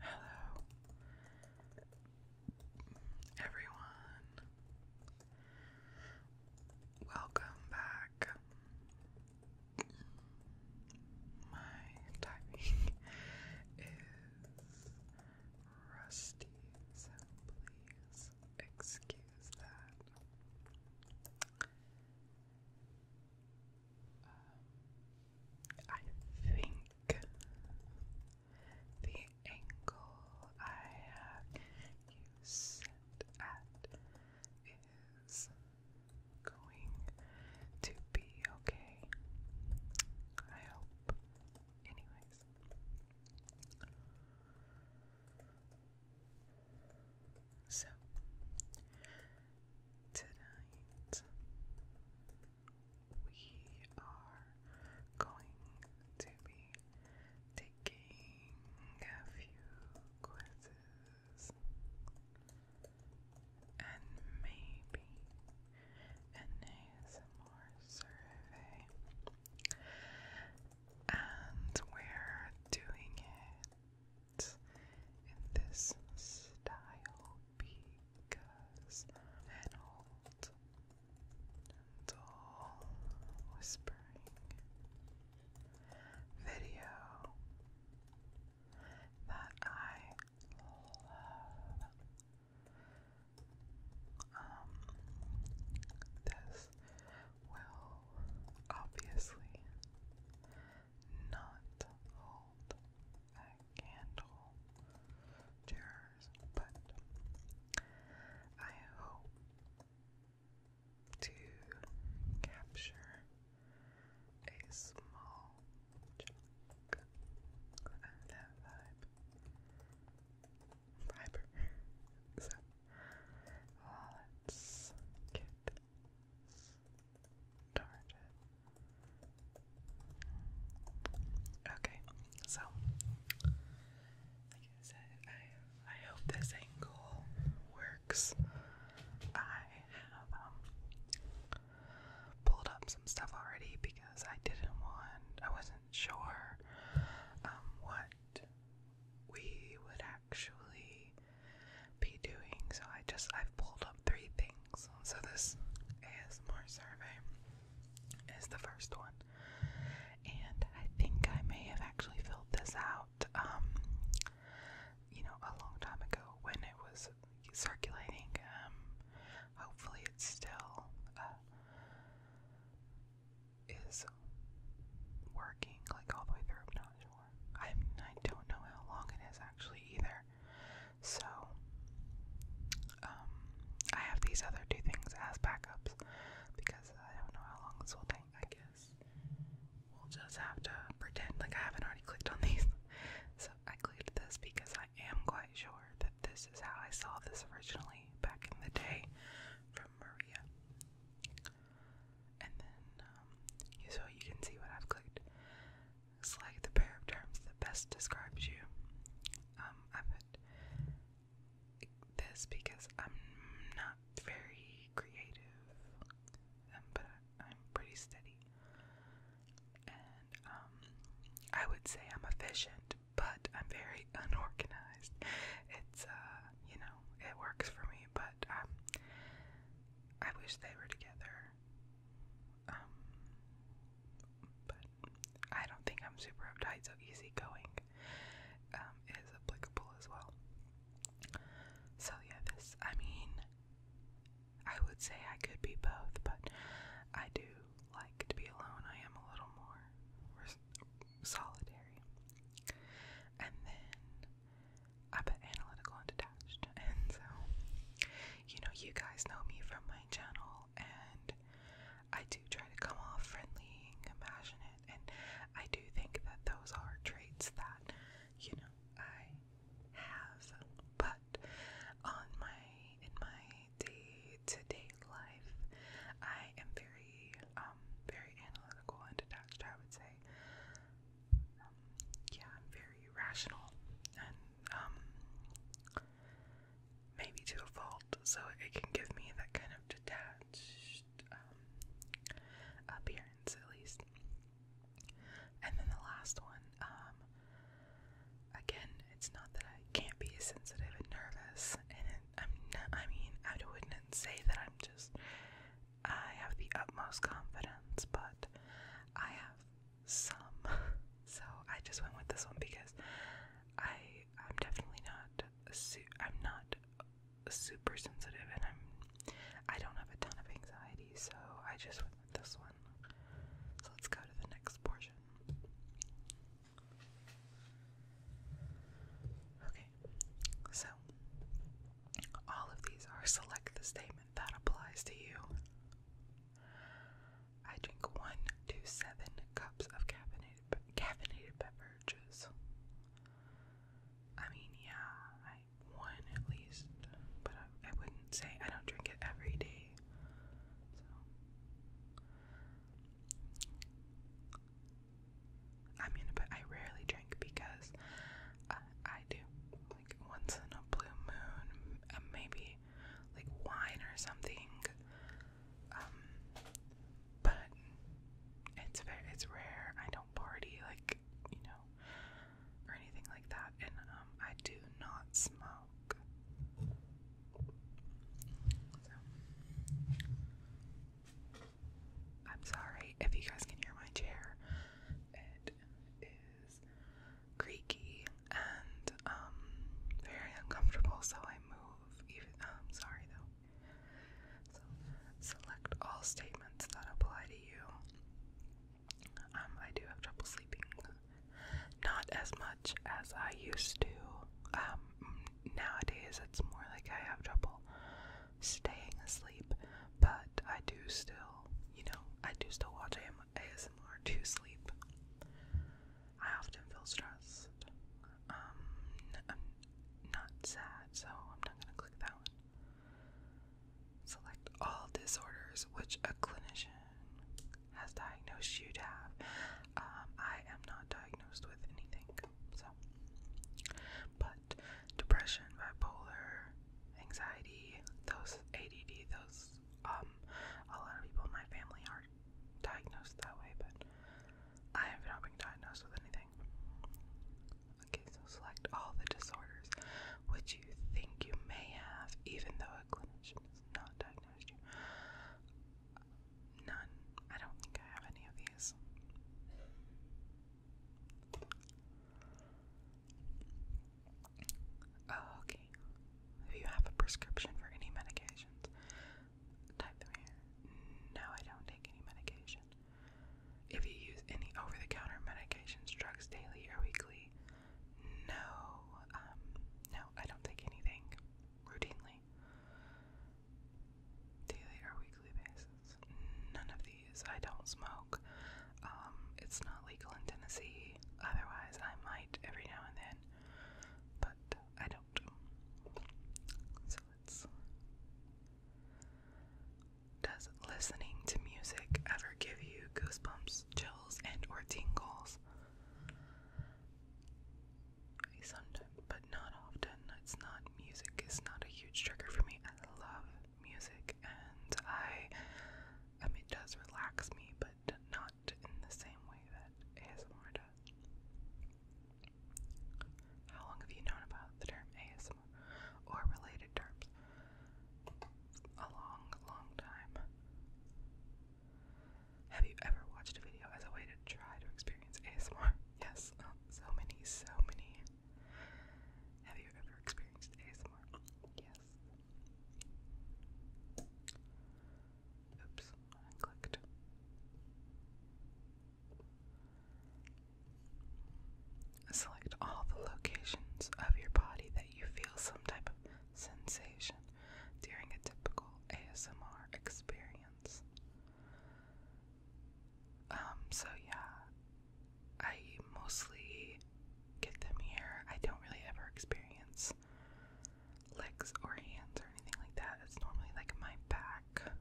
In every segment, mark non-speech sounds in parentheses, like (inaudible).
Hello, everyone. Welcome back. My timing is rusty, so please excuse that. Um, I think the angle I have you at is going to be okay. I hope. Anyways. So, tonight we are going to be taking a few quizzes and maybe an ASMR survey. And we're doing it in this style because an old and whispering video that I love. Um, this will obviously not hold a candle to hers, but I hope to capture a small chunk of that vibe. Fiber. (laughs) So, let's get Okay, so like I said, I I hope this angle works. I have um, pulled up some stuff already because I didn't want I wasn't sure um what we would actually be doing. So I just I've pulled up three things. So this ASMR survey is the first one, and I think I may have actually filled this out, um, you know, a long time ago when it was circulating. Um, hopefully, it's still. Uh, is working like all the way through. No, I mean, I don't know how long it is actually either. So, um, I have these other two things as backups because I don't know how long this will take. I guess we'll just have to pretend like I haven't already clicked on these. (laughs) So, I clicked this because I am quite sure that this is how I saw this originally back in the day from Maria. And then, um, so you can see what I've clicked. Select the pair of terms that best describes you. Um, I put this because I'm not very creative, um, but I'm pretty steady. And I would say I'm efficient, but I'm very (laughs) unorganized. It's uh, you know, it works for me, but um, I wish they were together. Um, but I don't think I'm super uptight, so easygoing um, is applicable as well. So, yeah, this, I mean, I would say I could be both, but I do like to be alone. I am a little more solitary. And then I'm analytical and detached, (laughs) and so you know, you guys know me from my channel, and I do try to come off friendly and compassionate, and I do think that those are traits that you know I have, but on my in my day to day life, I am very um very analytical and detached, I would say yeah, I'm very rational and um, maybe to a fault, so it can give me that kind of detached um, appearance at least. And then the last one, um, again, it's not that I can't be sensitive and nervous and I'm not, I mean, I wouldn't say that I'm just I have the utmost confidence, but I have some. (laughs) So I just went with this one because I am definitely not I'm not super sensitive and I'm I don't have a ton of anxiety, so I just went with this one. So let's go to the next portion. Okay, so all of these are select the statement that applies to you. I drink one to seven cups of caffeinated, be caffeinated beverages. I mean, yeah, I one at least, but I, wouldn't say I don't drink it every day. I mean, but I rarely drink because uh, I do like once in a blue moon, uh, maybe like wine or something. Um, but it's very it's rare. I don't party like you know or anything like that, and um, I do not smoke. I'm sorry if you guys can hear my chair. It is creaky and um very uncomfortable, so I move. Even I'm um, sorry though. So select all statements that apply to you. Um, I do have trouble sleeping, not as much as I used to. Um, nowadays it's more like I have trouble staying asleep, but I do still, you know, I do still watch ASMR to sleep. I often feel stressed. I'm um, not sad, so I'm not gonna click that one. Select all disorders which a clinician has diagnosed you to have. Um, I am not diagnosed with anything, so depression, bipolar, anxiety, those ADD, those um a lot of people in my family are diagnosed that way, but I have not been diagnosed with anything. Okay, so select all the disorders which you think you may have, even though a clinician has not diagnosed you. None. I don't think I have any of these. Oh, okay. If you have a prescription for any medications, type them here. No, I don't take any medication. If you use any over the counter medications, drugs daily or weekly, no, um, no, I don't take anything routinely daily or weekly basis. None of these. I don't smoke. Um, it's not legal in Tennessee. Otherwise, I might every now and then, but I don't. So let's. Does listening to music ever give you goosebumps, chills, and or tingles? movie but not often. It's not music is not a huge trigger for me. I love music and I I it does relax me, but not in the same way that ASMR does. How long have you known about the term ASMR or related terms? A long, long time. Have you ever watched a video as a way to try to experience ASMR? (laughs) Yes, um, so many, so many. Have you ever experienced ASMR? Yes. Oops, clicked. Select all the locations of your body that you feel some type of sensation during a typical ASMR experience. Um, so yeah, I mostly get them here. I don't really ever experience legs or hands or anything like that. It's normally like my back,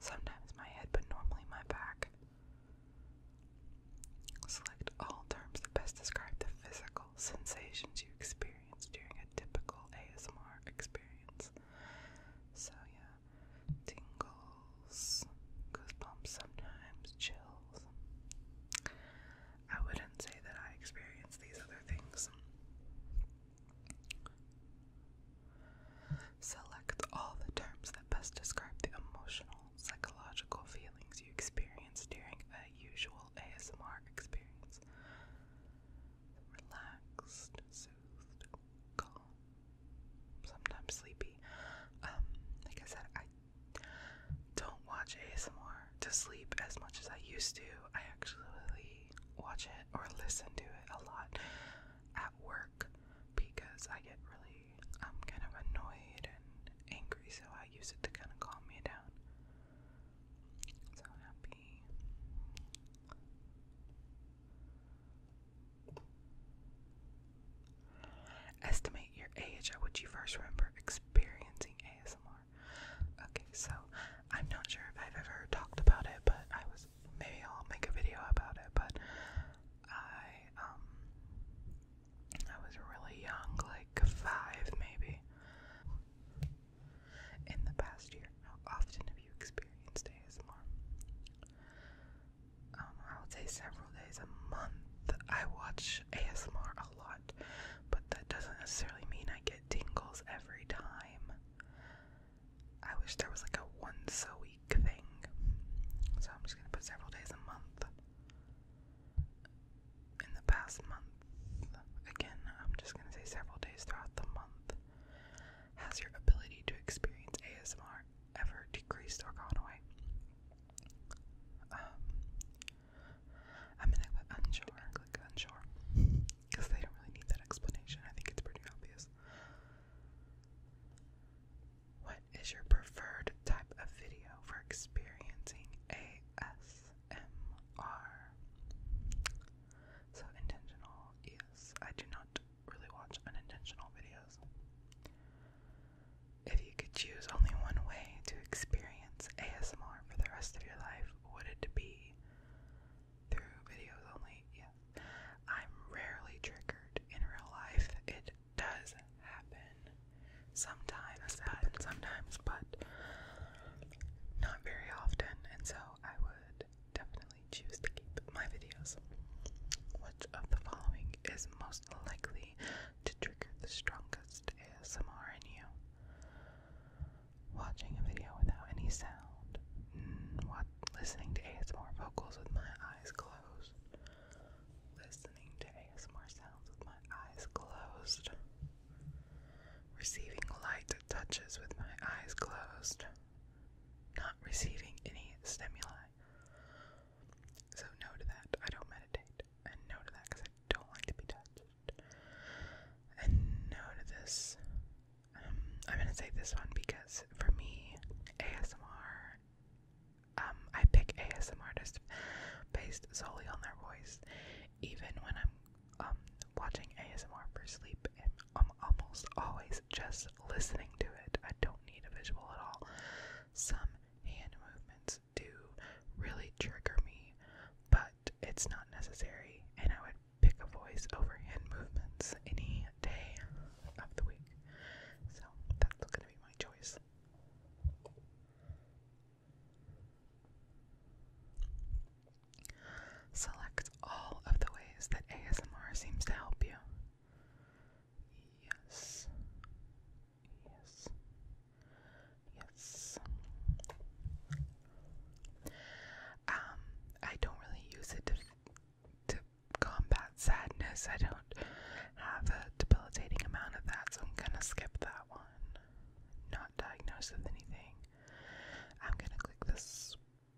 sometimes my head, but normally my back. Select all terms that best describe the physical sensations you experience during a typical ASMR experience. So, yeah tingles, goosebumps sometimes, chills. I wouldn't say that I experience these other things. Select all the terms that best describe the emotional, psychological feelings you experience during a usual ASMR experience. Relaxed, soothed, calm, sometimes sleepy. Um, like I said, I don't watch ASMR to sleep as much as I used to. I actually watch it or listen to it a lot at work because I get really I'm um, kind of annoyed and angry, so I use it to kind of calm me down. So happy. Estimate your age at which you first remember experiencing ASMR. Okay, so I'm not sure if I've ever talked about it, but I was maybe I'll make a video about it, but I um I was really young, like five maybe. In the past year, often you experienced ASMR? Um, I would say several days a month. I watch ASMR a lot, but that doesn't necessarily mean I get tingles every time. I wish there was like a once a week thing. So I'm just gonna put several days a month. In the past month, again, I'm just gonna say several days throughout the month. Has your ability to experience ASMR ever decreased or gone away? I'm um, gonna click unsure. Click unsure because they don't really need that explanation. I think it's pretty obvious. What is your preferred type of video for experiencing ASMR? So intentional, yes. I do not really watch unintentional videos. If you could choose only one way to experience ASMR for the rest of your life, would it be through videos only? Yes. I'm rarely triggered in real life. It does happen sometimes, but sometimes, but not very often. And so I would definitely choose to keep my videos. Which of the following is most likely to trigger the strongest ASMR in you? Watching a video without any sound. Mm, listening to ASMR vocals with my eyes closed. Listening to ASMR sounds with my eyes closed receiving light touches with my eyes closed, not receiving any stimuli. So, no to that. I don't meditate. And no to that because I don't like to be touched. And no to this. Um, I'm gonna say this one because for me, ASMR. Um, I pick ASMR artists based solely on their voice even when I'm um watching ASMR for sleep I'm almost always just listening to it. I don't need a visual at all. Some hand movements do really trigger me, but it's not necessary and I would pick a voice over hand movements any day of the week. So that's gonna be my choice. Select all of the ways that ASMR seems to help you. Yes. Yes. Yes. Um, I don't really use it to, to combat sadness. I don't have a debilitating amount of that, so I'm gonna skip that one. Not diagnosed with anything. I'm gonna click this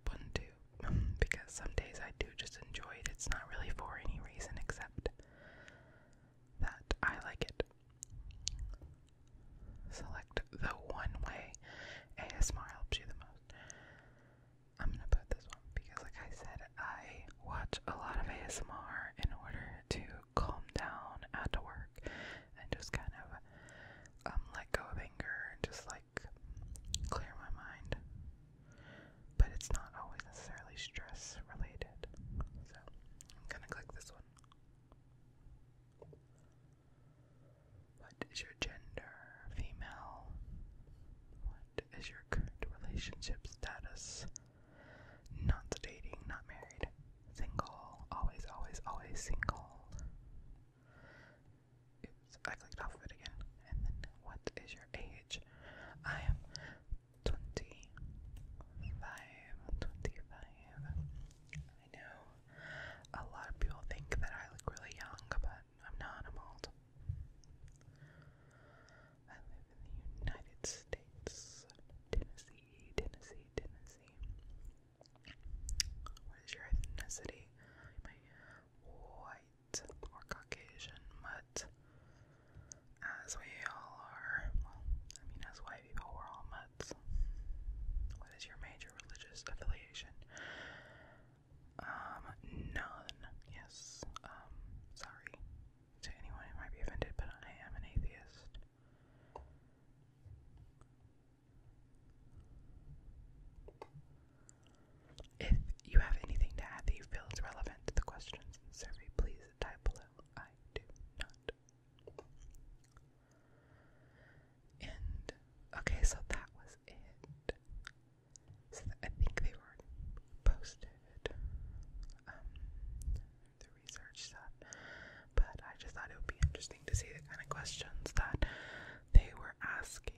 one too, (laughs) because some days I do just enjoy it. It's not really for any reason except that I like it. Select the one way ASMR helps you the most. I'm gonna put this one because, like I said, I watch a lot of ASMR in order to calm down at work and just kind of um, let go of anger and just like clear my mind. But it's not always necessarily stress related. So I'm gonna click this one. What is your gender? Female. What is your current relationship status? Not dating, not married single, always, always, always single. Oops, I clicked off of it again. And then, what is your age? I am 25, 25. I know a lot of people think that I look really young, but I'm not, I'm old. I live in the United States, Tennessee, Tennessee, Tennessee. What is your ethnicity? white or Caucasian, but as we all are, I mean, as white people, we're all mutts. What is your major religious affiliation? Um, none. Yes. Um, sorry to anyone who might be offended, but I am an atheist. If you have anything to add that you feel is relevant to the questions survey, please type below. I do not. And okay, so that was it. So I think they were posted. Um, the research set, but I just thought it would be interesting to see the kind of questions that they were asking.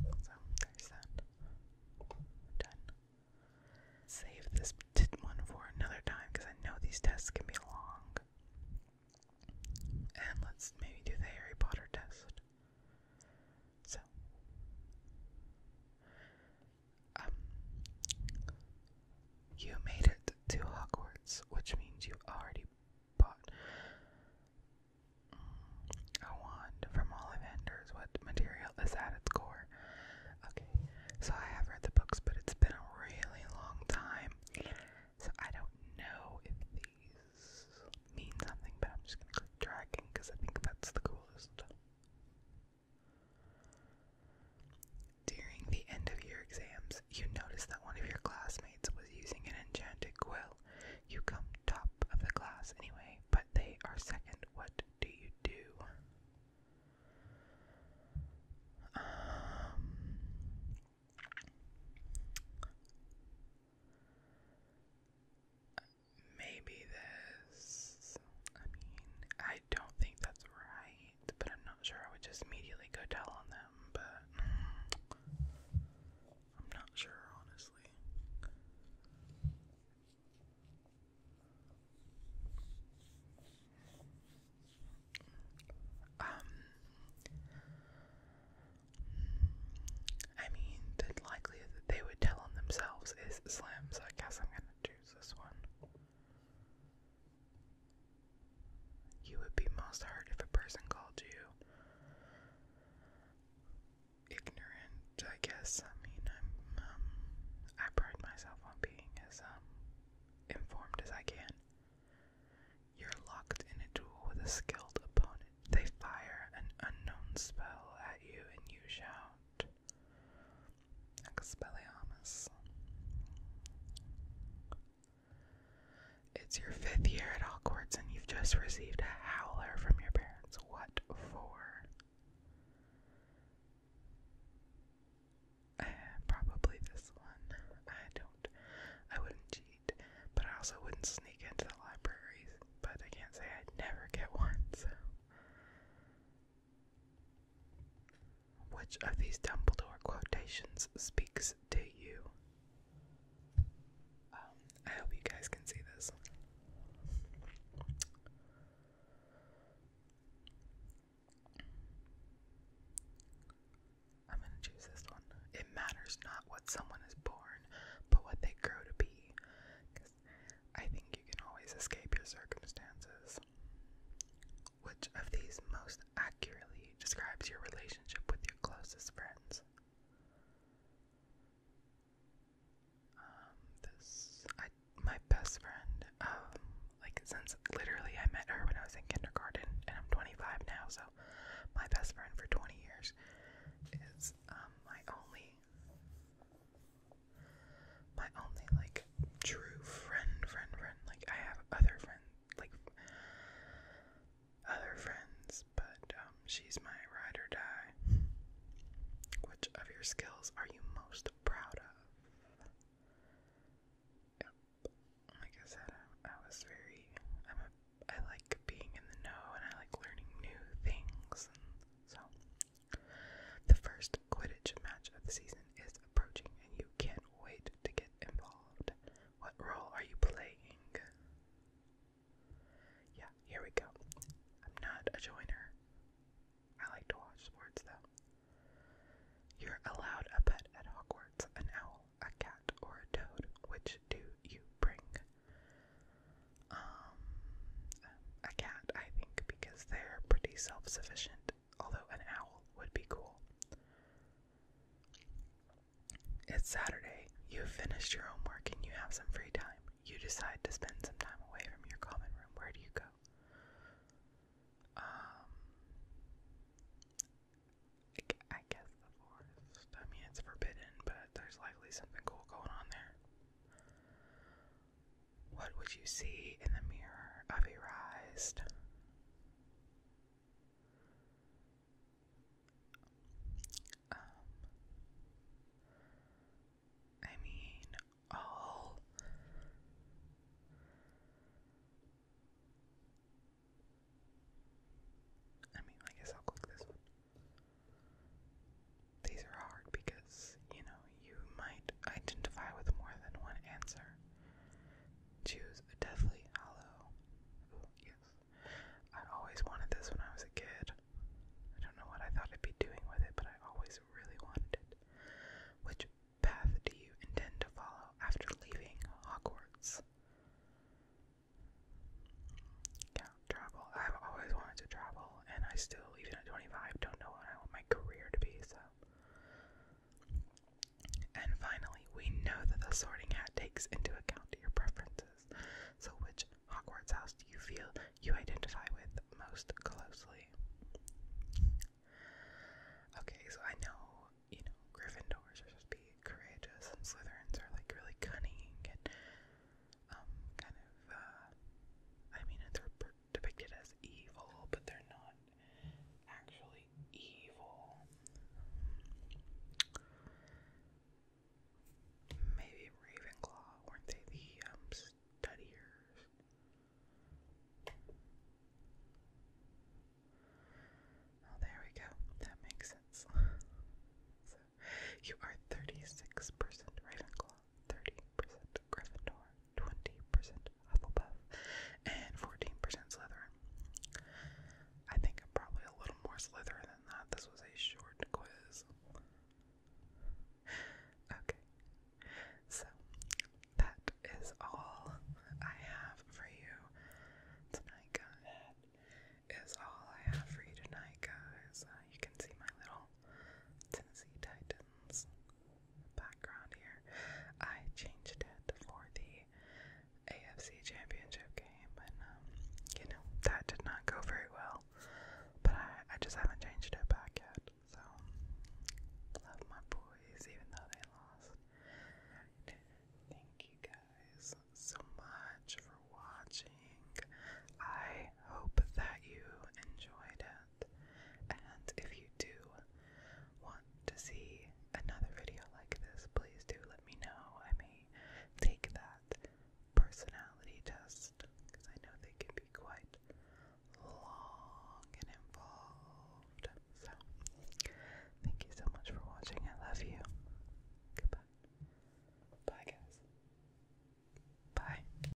So there's that. Done. Save this one for another time because I know these tests can be long. And let's maybe do the Harry Potter test. So, um, you made it to Hogwarts, which means you already bought mm, a wand from Ollivanders. What material is at its core? Okay, so I have read the books, but it's been a really long time, so I don't know if these mean something, but I'm just gonna click dragon because I think that's the coolest. During the end of your exams, you notice that one of your classmates was using an enchanted quill. You come top of the class anyway, but they are second. What do you do? Um, maybe this. I mean, I don't think that's right but I'm not sure I would just immediately go tell on them, but I'm not sure, honestly. Um, I mean, the likelihood that they would tell on themselves is slim, so I guess I'm gonna choose this one. You would be most hurt if a person called you ignorant, I guess. I mean, um, i pride myself on being as, um, informed as I can. You're locked in a duel with a skilled opponent. They fire an unknown spell at you and you shout, Expelliarmus. It's your fifth year at Hogwarts and you've just received a howler from your parents. What for? probably this one. I don't. I wouldn't cheat, but I also wouldn't sneak into the library. But I can't say I'd never get one, which of these Dumbledore quotations speaks to you? Um, I hope you guys can see this. I'm going to choose this one. It matters not what someone is born, but what they grow to be. I think you can always escape your circumstances. Which of these most accurately describes your relationship with your closest friends? Um, this, my best friend, um, like since literally I met her when I was in kindergarten, and I'm 25 now, so my best friend for 20 years is, um, my only my only like true friend, friend, friend. Like I have other friends, like other friends, but um, she's my ride or die. Which of your skills are you most proud of? Like I said, I, was very. I'm a. I like being in the know, and I like learning new things, so the first Quidditch match of the season is approaching, and you can't wait to get involved. What role are you playing? Yeah, here we go. I'm not a joiner. I like to watch sports though. You're allowed a pet at Hogwarts, an owl, a cat, or a toad. Which do you bring? Um, a cat, I think, because they're pretty self sufficient although an owl would be cool. It's Saturday, you've finished your homework and you have some free time. You decide to spend some time away from your common room. Where do you go? Um, I guess the forest. I mean, it's forbidden, but there's likely something cool going on there. What would you see in the mirror of your um, eyes? I mean, all I mean, I guess I'll click this one. These are hard because, you know, you might identify with more than one answer. Choose a Deathly Hollow. yes. I always wanted this when I was a kid. I don't know what I thought I'd be doing with it, but I always really wanted it. Which path do you intend to follow after leaving Hogwarts? Yeah, travel. I've always wanted to travel, and I still, even at 25, don't know what I want my career to be, so and finally, we know that the sorting hat takes into account your preferences. So, which Hogwarts house do you feel you identify with most closely? Okay, so I know, you know, Gryffindors are be courageous, and Slytherins are like really cunning and um, kind of, uh, I mean, they're depicted as evil, but they're not actually evil. Maybe Ravenclaw, weren't they the um, studiers? Oh, there we go. That makes sense. (laughs) so, you are 36% Ravenclaw. 30% Gryffindor, 20% Hufflepuff, and 14% Slytherin. I think I'm probably a little more Slytherin than that. This was a short quiz. Okay. So, that is all I have for you tonight, guys. Is all I have for you tonight, guys. Uh, you can see my little Tennessee Titan background here. I changed it for the AFC Championship game, and um, you know that did not go very well. But I, just haven't changed it back yet. So love my boys, even though they lost. thank you guys so much for watching. I hope that you enjoyed it. And if you do want to see another video like this, please do let me know. I may take that personality test because I know they can be quite long and involved. So, thank you so much for watching. I love you. Goodbye. Bye, guys. Bye.